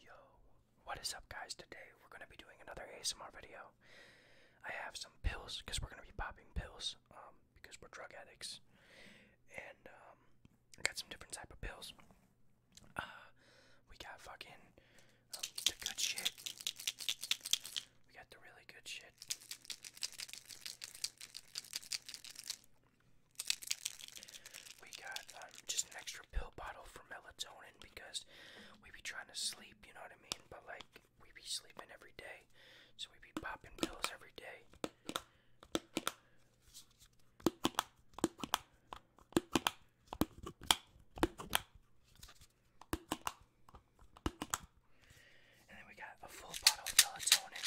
Yo, what is up guys? Today we're going to be doing another ASMR video. I have some pills because we're going to be popping pills um, because we're drug addicts. And um, I got some different type of pills. Uh, we got fucking um, the good shit. We got the really good shit. We got um, just an extra pill bottle for melatonin because we be trying to sleep, you know what I mean? But like, we be sleeping every day, so we be popping pills every day. And then we got a full bottle of melatonin.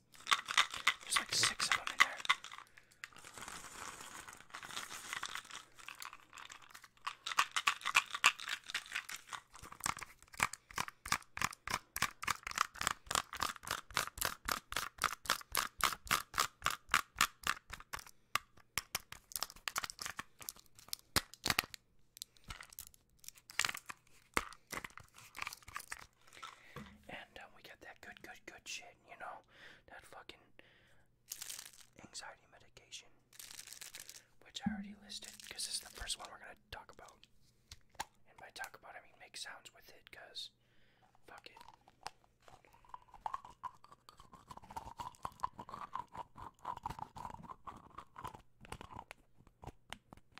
There's like six of them in there. And uh, we get that good, good, good shit, you know? That fucking anxiety medication, which I already listed because this is the first one we're going to talk about. And by talk about, I mean make sounds with it because fuck it.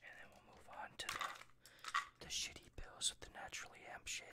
And then we'll move on to the, the shitty pills of the naturally hemp shit.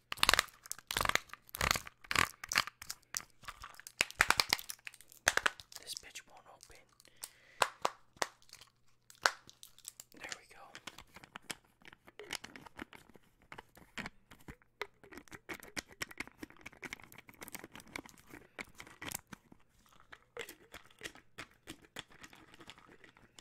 This bitch won't open. There we go.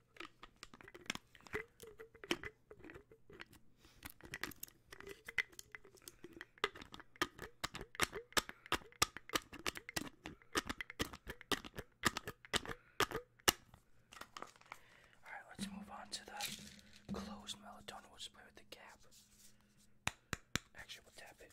Alright, let's move on to the closed melatonin. We'll just play with the cap. Actually, we'll tap it.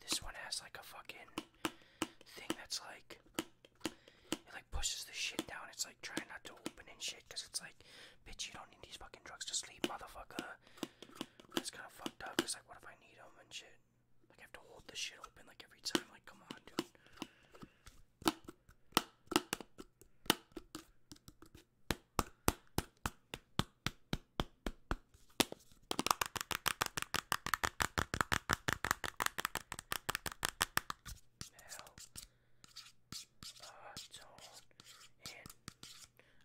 This one has like a fucking thing that's like it like pushes the shit down. It's like trying not to open and shit because it's like, bitch, you don't need these fucking drugs to sleep, motherfucker. It's kind of fucked up. It's like, what if I need them and shit? Like I have to hold the shit open like every time. Like, come on, dude. Mel, uh, Tone, and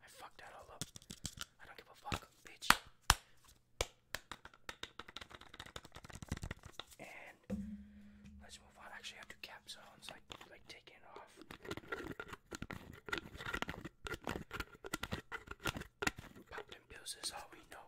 I fucked that all up. I don't give a fuck, bitch. And Let's move on. Actually, I have to cap zones, like like taking it off. Popped and is all we know.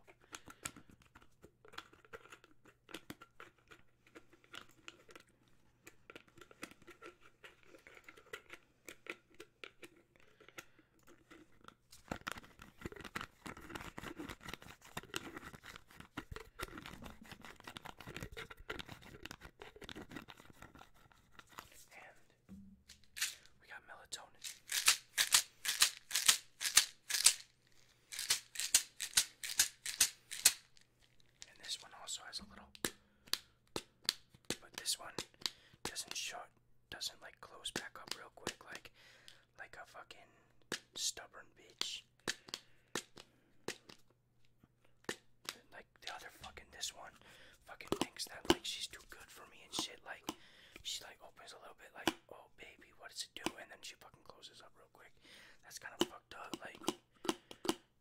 And we got melatonin. And this one also has a little but this one doesn't shut doesn't like close back up real quick like like a fucking stubborn bitch. Like the other fucking this one fucking thinks that like she's too good for me and shit like she like opens a little bit like oh baby what does it do and then she fucking closes up real quick. That's kinda fucked up like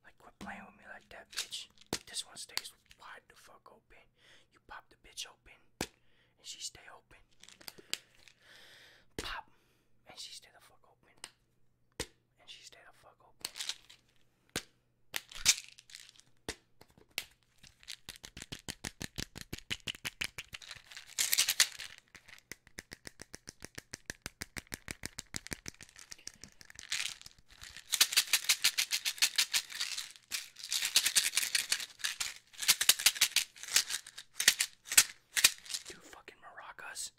like quit playing with me like that bitch. This one stays wide the fuck open. You pop the bitch open and she stay open. Pop and she stay the fuck open. And she stay the fuck open. Two fucking maracas.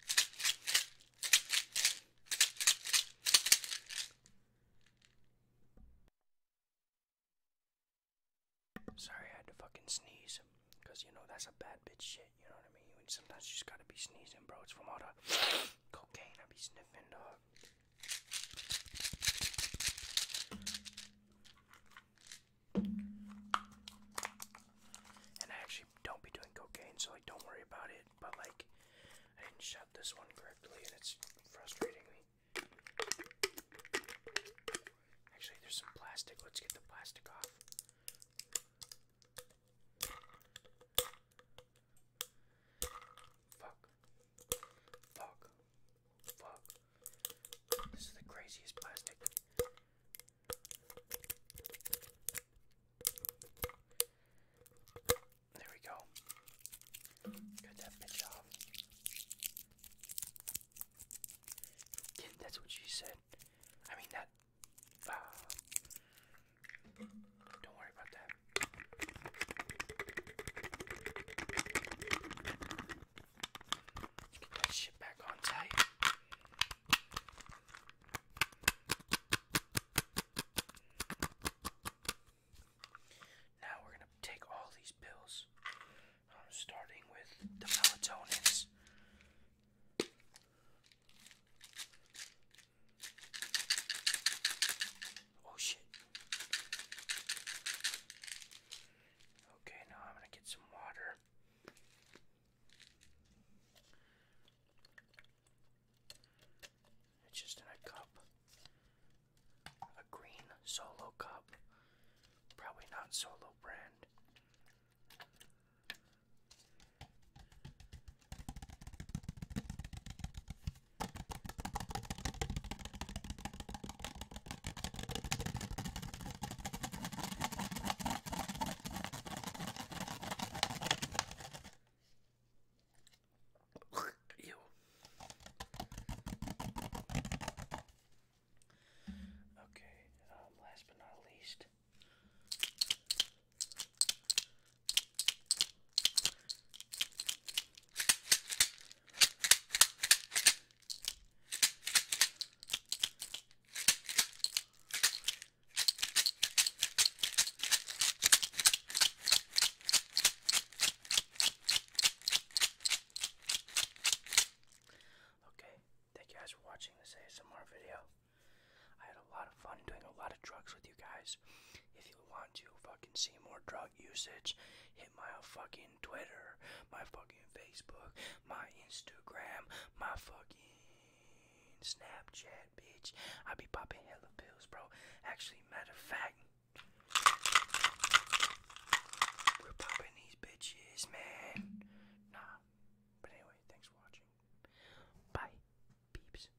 Sorry, I had to fucking sneeze. Because, you know, that's a bad bitch shit. You know what I mean? Sometimes you just gotta be sneezing, bro. It's from all the cocaine I be sniffing, dog. And I actually don't be doing cocaine, so like don't worry about it. But like, I didn't shut this one correctly, and it's frustrating me. Actually, there's some plastic. Let's get the plastic off. Fuck. Fuck. Fuck. This is the craziest plastic. There we go. Cut that bitch off. that's what she said. I mean, that. Uh, don't worry about that get that shit back on tight. Now we're gonna take all these pills, um, starting with the melatonins. Oh shit. Okay, now I'm gonna get some water. It's just in a cup. A green solo cup. Probably not solo brand. Ew. Okay, um, last but not least, Okay, thank you guys for watching this ASMR video. I had a lot of fun doing a lot of drugs with you guys. If you want to fucking see more drug usage, hit my fucking Twitter, my fucking Facebook, my Instagram, my fucking Snapchat, bitch. I be popping hella pills, bro. Actually, matter of fact, we're popping these bitches, man. Nah. But anyway, thanks for watching. Bye, peeps.